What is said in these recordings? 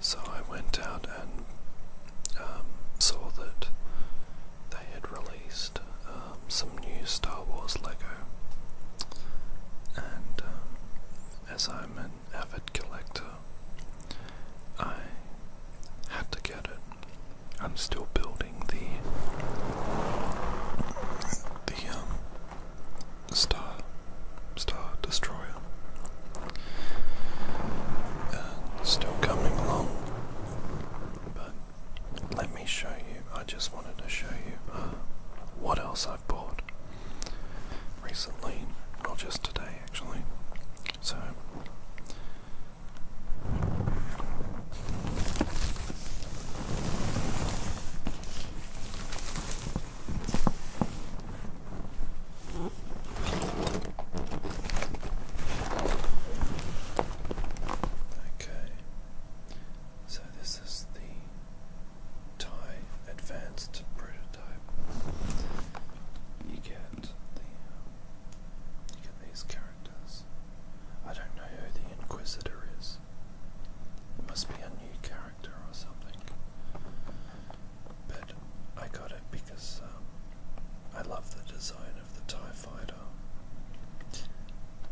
So I went out and um, saw that they had released um, some new Star Wars Lego, and um, as I'm an avid collector, I had to get it. I'm still building the the um Star Star Destroyer. still coming along, but let me show you. I just wanted to show you uh, what else I've bought recently, not just today actually. So, Okay, so this is the Thai advanced prototype. You get the you get these characters. I don't know who the Inquisitor is. It must be a new character or something. But I got it because um, I love the design of the TIE Fighter.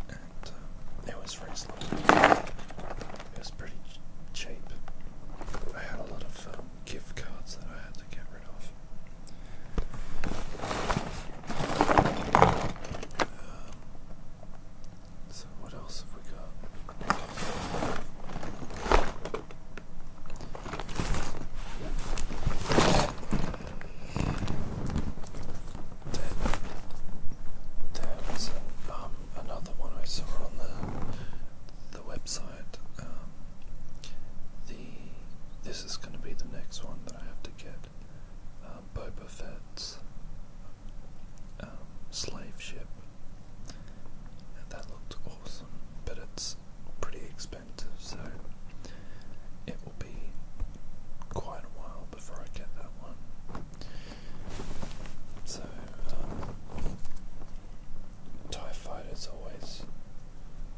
And um, it was reasonable. It was pretty cheap. I had a lot of um, gift cards that I had to get rid of. So, what else have we got? Then, there um, another one I saw on the the website. Um, the this is going to be the next one that I have to get. Um, um, slave ship, that looked awesome. But it's pretty expensive, so it will be quite a while before I get that one. So, um, TIE fighters always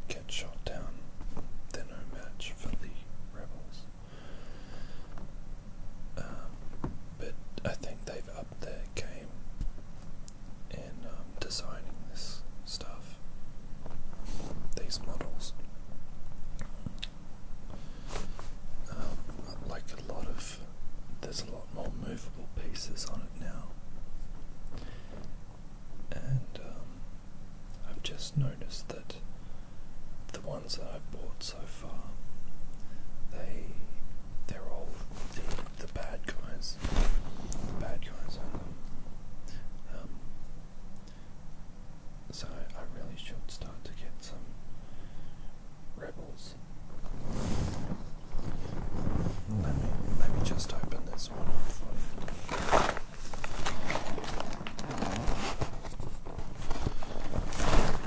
get shot down, they're no match for the rebels. Um, but I think they've upped their game in um, designing this stuff, these models. Um, like a lot of, there's a lot more movable pieces on it now. And I've just noticed that the ones that I've bought so far, they they're all the, the bad guys. The bad guys on them. Um, so I really should start to get some rebels. Let me let me just open this one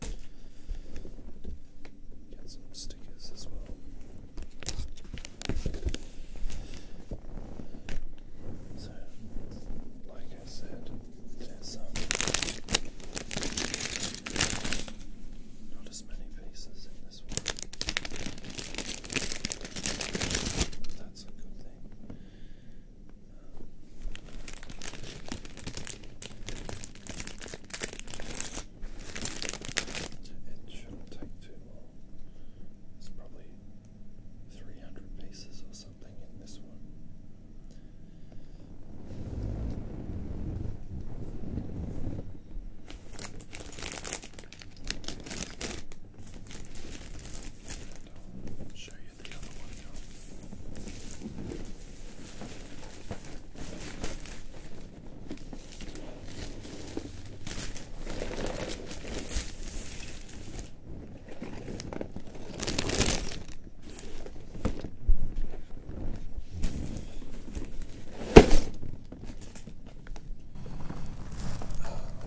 Got some stickers as well. So, like I said, there's um, not as many pieces in this one. But that's a good thing. It shouldn't take too long. It's probably 300 pieces or something in this one. And i show you the other one now. Let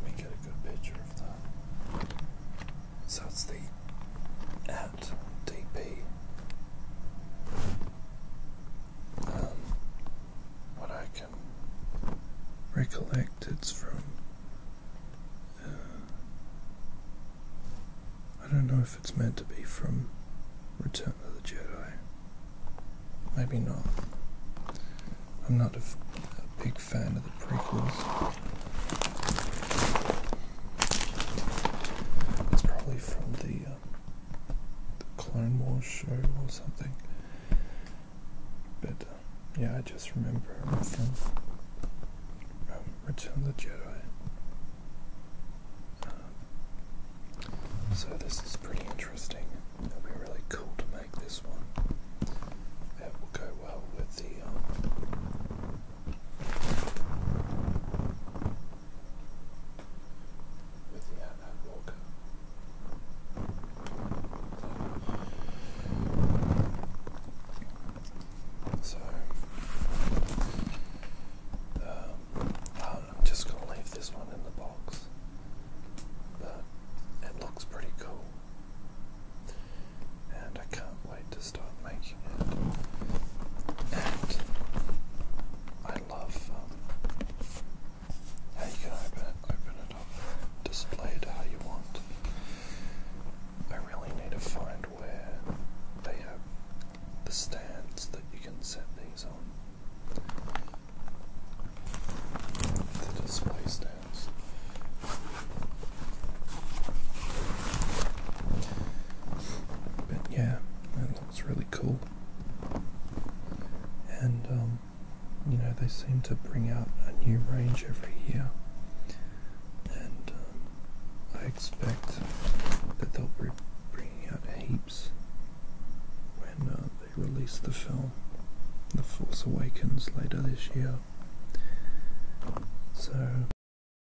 me get a good picture of that. So it's the DP. Um, what I can recollect, it's from. Uh, I don't know if it's meant to be from Return of the Jedi. Maybe not. I'm not a, a big fan of the prequels. It's probably from the uh, the Clone Wars show or something. But uh, yeah, I just remember Return of the Jedi. Uh, so this is pretty interesting. It'll be really cool to make this one. It will go well with the. Um, so, I'm um, just going to leave this one in the box, but it looks pretty cool, and I can't wait to to making it. And I love um, how you can open it, up, display it how you want. I really need to find where they have the stands that you can set things on. The display stands. But yeah, that looks really cool. And, um, you know, they seem to bring out a new range every year. And um, I expect that they'll be bringing out heaps when uh, they release the film, The Force Awakens, later this year. So.